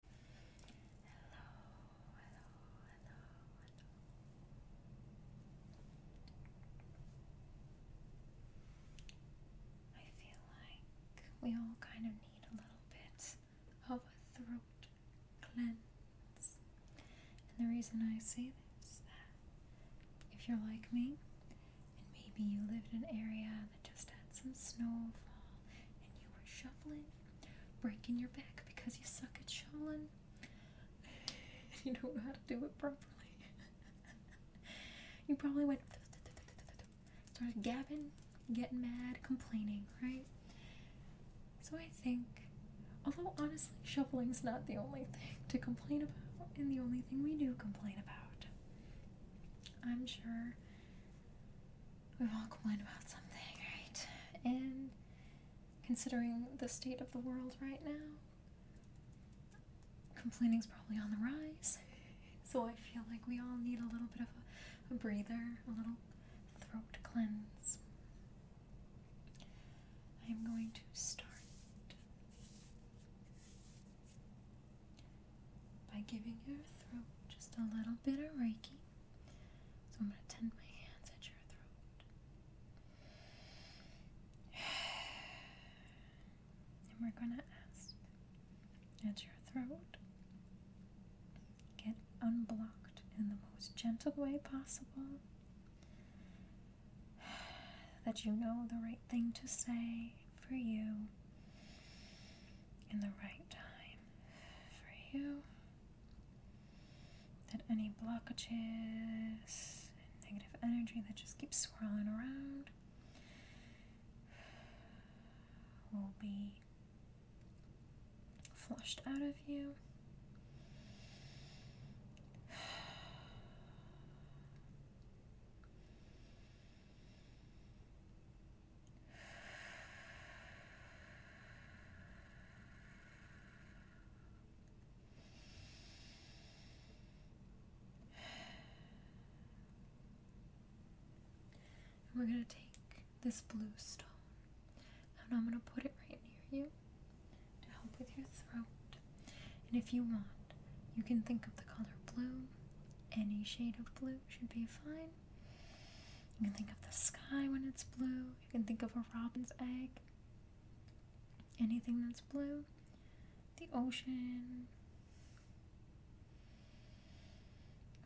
Hello, hello, hello, hello. I feel like we all kind of need a little bit of a throat cleanse. And the reason I say this is that if you're like me, and maybe you lived in an area that just had some snowfall and you were shoveling, breaking your back because you suck at shoveling, and you don't know how to do it properly. you probably went started gabbing, getting mad, complaining, right? So I think, although honestly, shoveling's not the only thing to complain about, and the only thing we do complain about. I'm sure we all complain about something, right? And considering the state of the world right now, complaining is probably on the rise. So I feel like we all need a little bit of a breather, a little throat cleanse. I'm going to start by giving your throat just a little bit of Reiki. So I'm going to tend my hands at your throat. And we're going to ask at your throat get unblocked in the most gentle way possible. That you know the right thing to say for you in the right time for you that any blockages and negative energy that just keeps swirling around will be flushed out of you. And we're going to take this blue stone and I'm going to put it right near you to help with your throat. And if you want, you can think of the color blue. Any shade of blue should be fine. You can think of the sky when it's blue. You can think of a robin's egg. Anything that's blue. The ocean.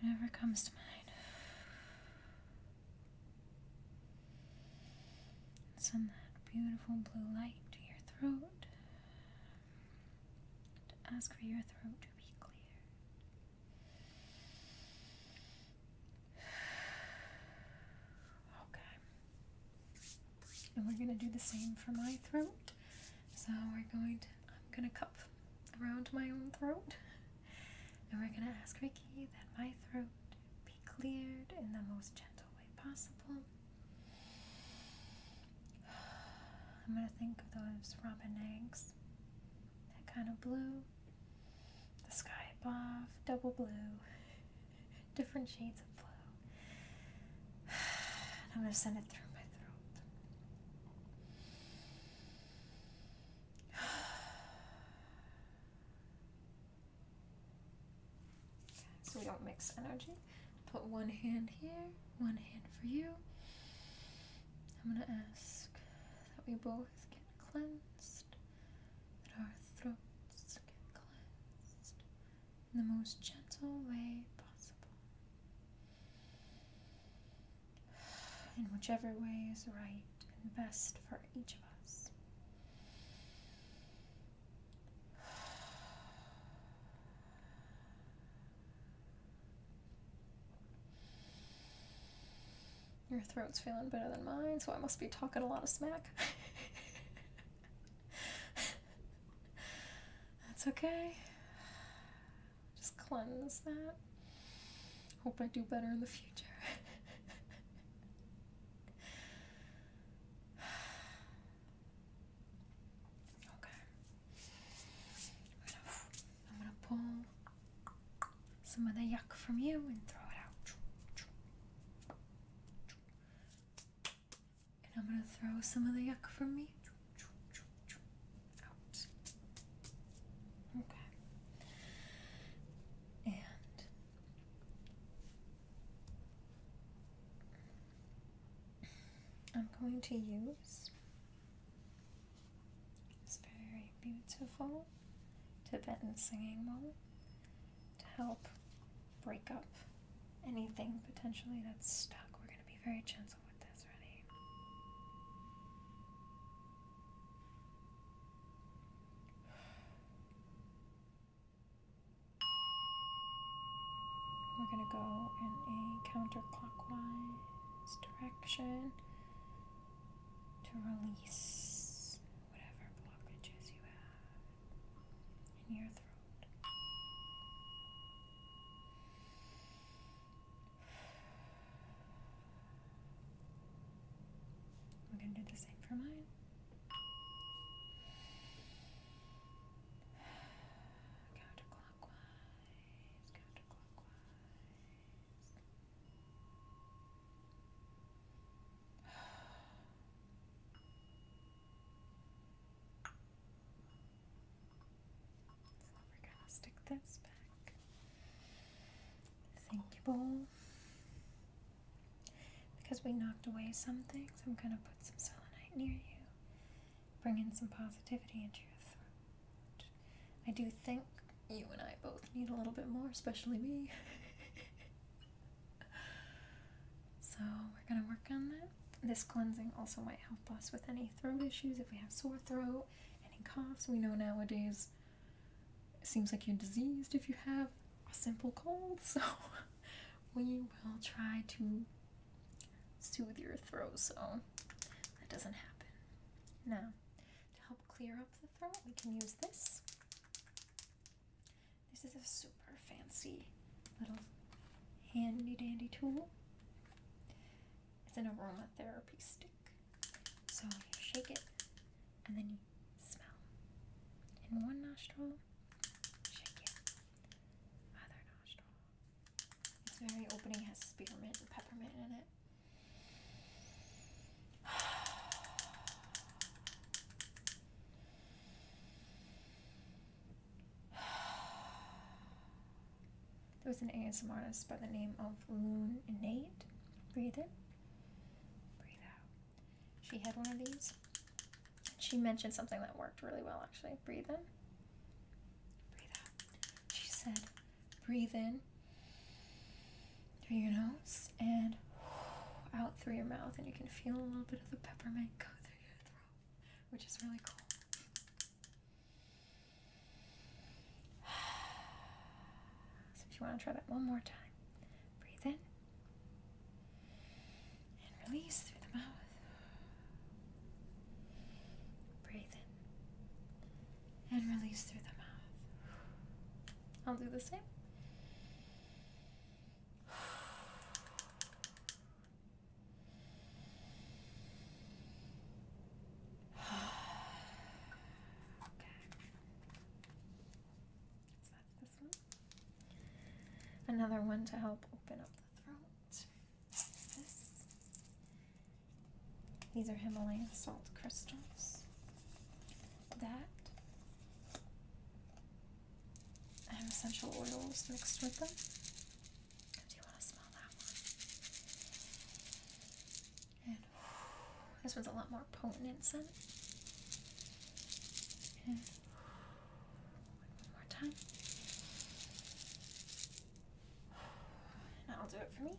Whatever comes to mind. Send that beautiful blue light to your throat. To ask for your throat to be clear. Okay. And we're going to do the same for my throat. So we're going to, I'm going to cup around my own throat. And we're going to ask Reiki that my throat be cleared in the most gentle way possible. I'm going to think of those robin eggs that kind of blue. The sky above, double blue. Different shades of blue. I'm going to send it through my throat. so we don't mix energy. Put one hand here one hand for you. I'm going to ask that we both get cleansed, that our throats get cleansed in the most gentle way possible. In whichever way is right and best for each of us. Your throat's feeling better than mine, so I must be talking a lot of smack. That's okay. Just cleanse that. Hope I do better in the future. okay. I'm gonna pull some of the yuck from you and throw it out. And I'm gonna throw some of the yuck from me out. Okay. And I'm going to use it's very beautiful Tibetan singing bowl to help break up anything potentially that's stuck. We're going to be very gentle with this, ready? We're going to go in a counterclockwise direction to release whatever blockages you have in your throat. We're going to do the same for mine. Counterclockwise counterclockwise, counterclockwise. So we're gonna stick this back. Thank you, bowl. Because we knocked away some things, I'm gonna put some selenite near you bring in some positivity into your throat. I do think you and I both need a little bit more, especially me. so we're gonna work on that. This cleansing also might help us with any throat issues if we have sore throat, any coughs. We know nowadays seems like you're diseased if you have a simple cold, so we will try to soothe your throat so that doesn't happen. Now, to help clear up the throat, we can use this. This is a super fancy little handy dandy tool. It's an aromatherapy stick. So you shake it and then you smell. In one nostril, shake it. Other nostril, it's very opening, has spearmint and peppermint in it. There was an ASM artist by the name of Loon Nate. Breathe in, breathe out. She had one of these. She mentioned something that worked really well, actually. Breathe in, breathe out. She said, Breathe in through your nose and out through your mouth, and you can feel a little bit of the peppermint go through your throat, which is really cool. So, if you want to try that one more time, breathe in and release through the mouth. Breathe in and release through the mouth. I'll do the same. Okay. So that's this one. Another one to help open up the throat. These are Himalayan salt crystals. That. I essential oils mixed with them. Do you want to smell that one? this one's a lot more potent in scent. one more time that'll do it for me.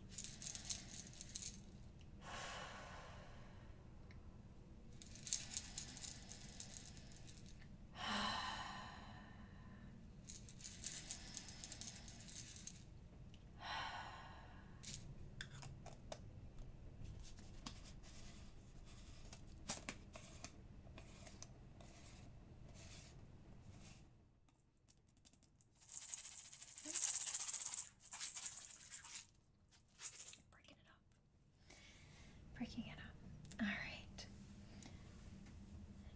Breaking it up. Breaking it up. All right.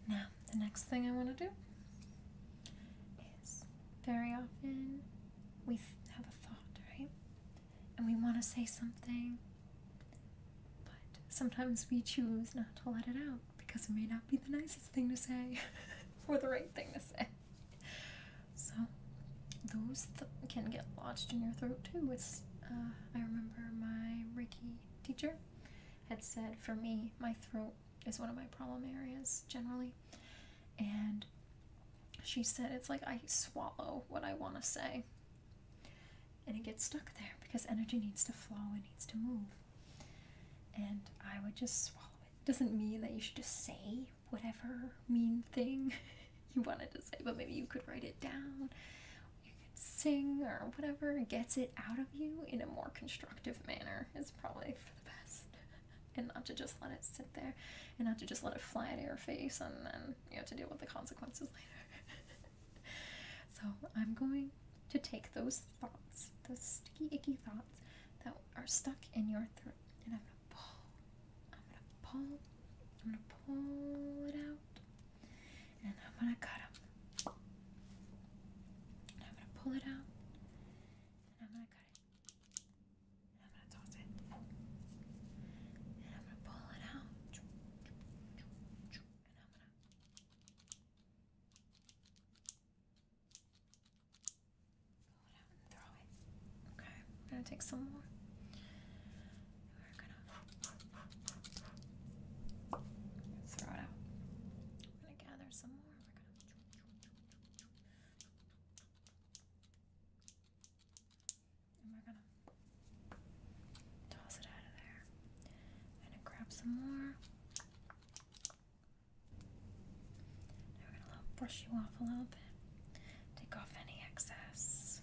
Now, the next thing I want to do is very often we have a thought, right? And we want to say something, but sometimes we choose not to let it out because it may not be the nicest thing to say or the right thing to say. So, those can get lodged in your throat too. It's, uh, I remember my Ricky teacher had said, for me, my throat is one of my problem areas generally. And she said, it's like I swallow what I want to say. And it gets stuck there because energy needs to flow, it needs to move and I would just swallow it. Doesn't mean that you should just say whatever mean thing you wanted to say, but maybe you could write it down, you could sing or whatever gets it out of you in a more constructive manner is probably for the best. And not to just let it sit there and not to just let it fly out your face and then you have to deal with the consequences later. So I'm going to take those thoughts, those sticky, icky thoughts that are stuck in your throat, and I'm gonna pull, I'm gonna pull, I'm gonna pull it out, and I'm gonna cut them. And I'm gonna pull it out, and I'm gonna cut it, and I'm gonna toss it, and I'm gonna pull it out, and I'm gonna. Okay, I'm gonna take some more. We're gonna throw it out. We're gonna gather some more. We're gonna. toss it out of there. I'm gonna grab some more we're gonna brush you off a little bit. Take off any excess.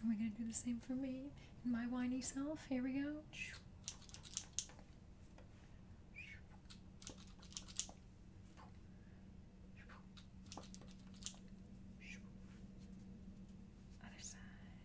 And we're gonna do the same for me and my whiny self. Here we go. Other side.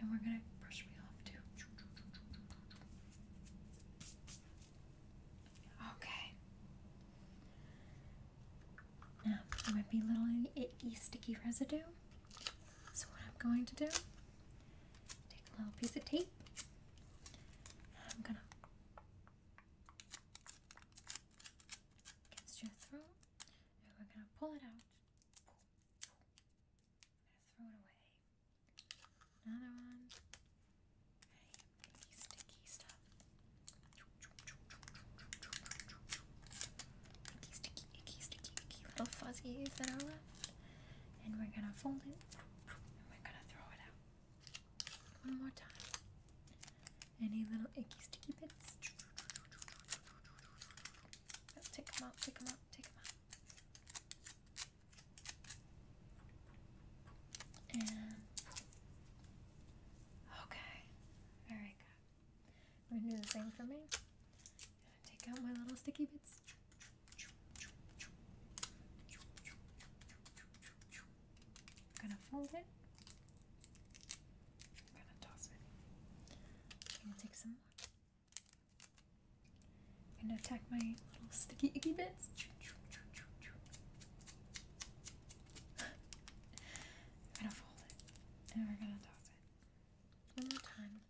And we're gonna brush me off too. Okay. Now there might be a little icky sticky residue. So what I'm going to do, take a little piece of tape. I'm gonna against your throat, and we're gonna pull it out. i throw it away. Another one. Okay, sticky, stuff. Icky, sticky, icky, sticky, icky little fuzzies that are left. And we're gonna fold it and we're gonna throw it out. One more time. Any little icky sticky bits? take them out, take them out, take them out. okay, very good. I'm gonna do the same for me. Take out my little sticky bits. I'm gonna fold it. I'm gonna toss it. I'm gonna take some more. I'm gonna attack my little sticky icky bits. I'm gonna fold it. And we're gonna toss it. One more time.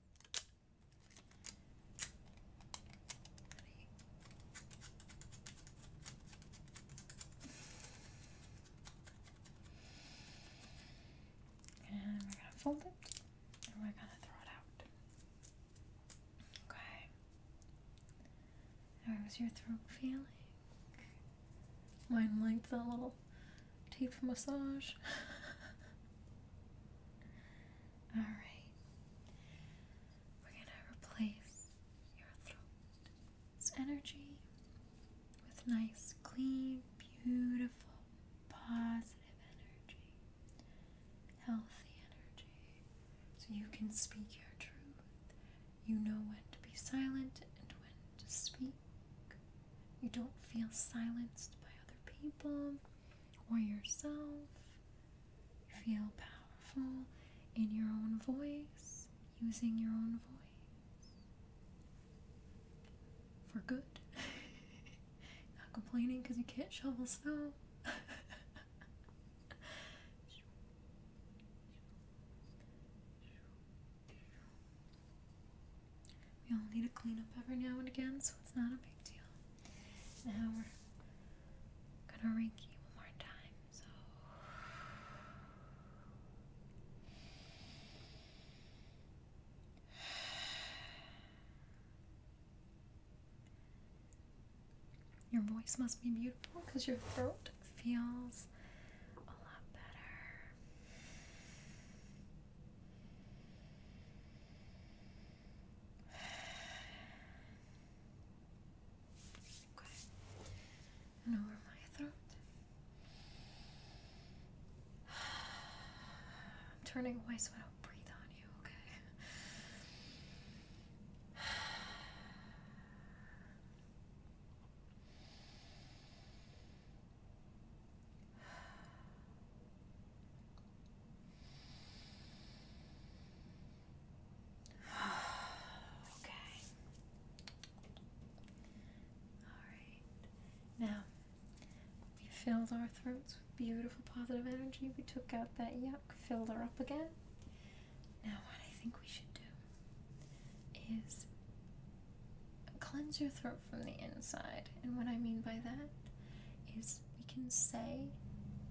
And we're gonna fold it and we're gonna throw it out. Okay. How was your throat feeling? Mine liked that little tape massage. Alright. We're gonna replace your throat it's energy with nice, clean, beautiful, positive energy, healthy energy, so you can speak your truth. You know when to be silent and when to speak. You don't feel silenced by other people or yourself. You feel powerful in your own voice, using your own voice for good. Not complaining because you can't shovel snow. We all need to clean up every now and again, so it's not a big deal. Now we're gonna you one more time your voice must be beautiful because your throat feels a lot better. Okay over my throat. I'm turning away so I don't breathe on you, okay? okay. Alright. Now, we filled our throats with beautiful positive energy. We took out that yuck, filled her up again. Now, what I think we should do is cleanse your throat from the inside. And what I mean by that is we can say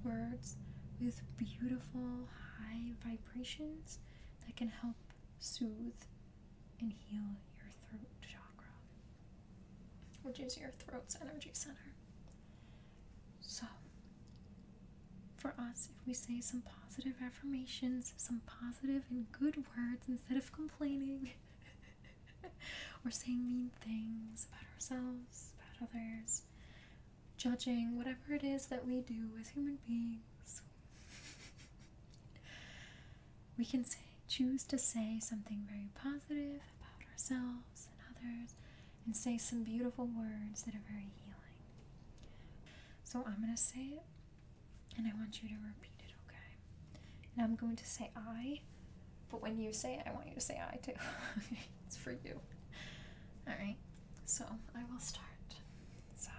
words with beautiful high vibrations that can help soothe and heal your throat chakra, which is your throat's energy center. So, for us, if we say some positive affirmations, some positive and good words instead of complaining or saying mean things about ourselves, about others, judging, whatever it is that we do as human beings. we can choose to say something very positive about ourselves and others and say some beautiful words that are very healing. So I'm going to say it and I want you to repeat it, okay? And I'm going to say I, but when you say it, I want you to say I too. it's for you. All right? So I will start. So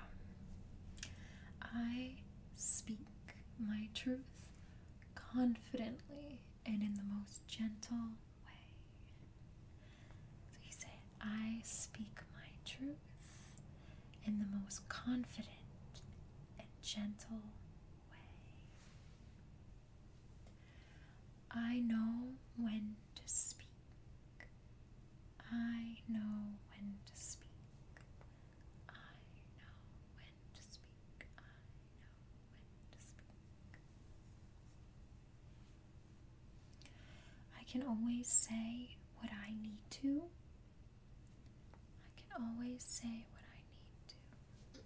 I speak my truth confidently and in the most gentle way. So you say, I speak my truth in the most confident and gentle way. I know when to speak. I know when to speak. I know when to speak. I know when to speak. I can always say what I need to. I can always say what I need to.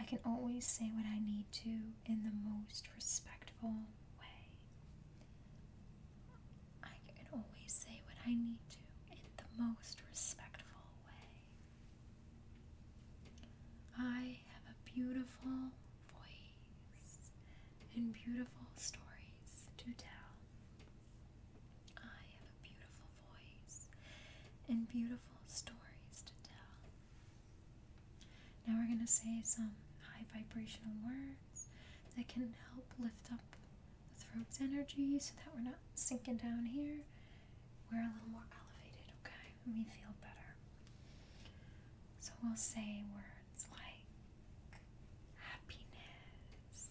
I can always say what I need to in the most respectful way. I can always say what I need to in the most respectful way. I have a beautiful voice and beautiful stories to tell. I have a beautiful voice and beautiful stories to tell. Now we're going to say some high vibrational words that can help lift up the throat's energy so that we're not sinking down here. We're a little more elevated, okay? we feel better. So we'll say words like happiness,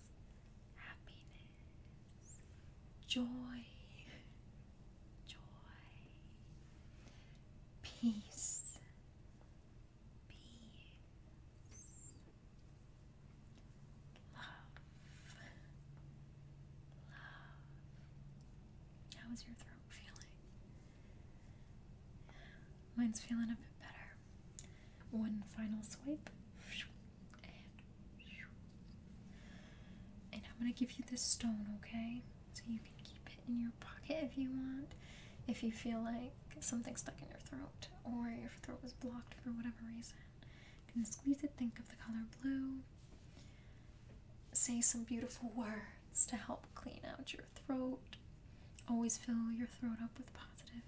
happiness, joy, joy, Peace. Peace. Love. Love. How is your throat feeling? Mine's feeling a bit better. One final swipe. And, and I'm going to give you this stone, okay? So you can keep it in your pocket if you want, if you feel like something stuck in your throat or your throat was blocked for whatever reason. You can squeeze it, think of the color blue. Say some beautiful words to help clean out your throat. Always fill your throat up with positive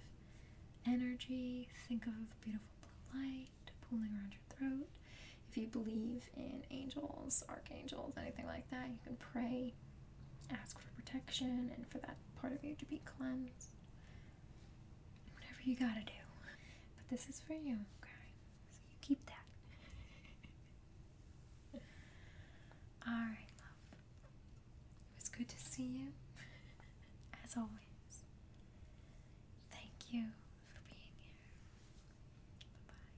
energy. Think of beautiful blue light pooling around your throat. If you believe in angels, archangels, anything like that, you can pray, ask for protection, and for that part of you to be cleansed. Whatever you gotta do. But this is for you, okay? So you keep that. Alright, love. It was good to see you, as always. Thank you for being here. Bye bye.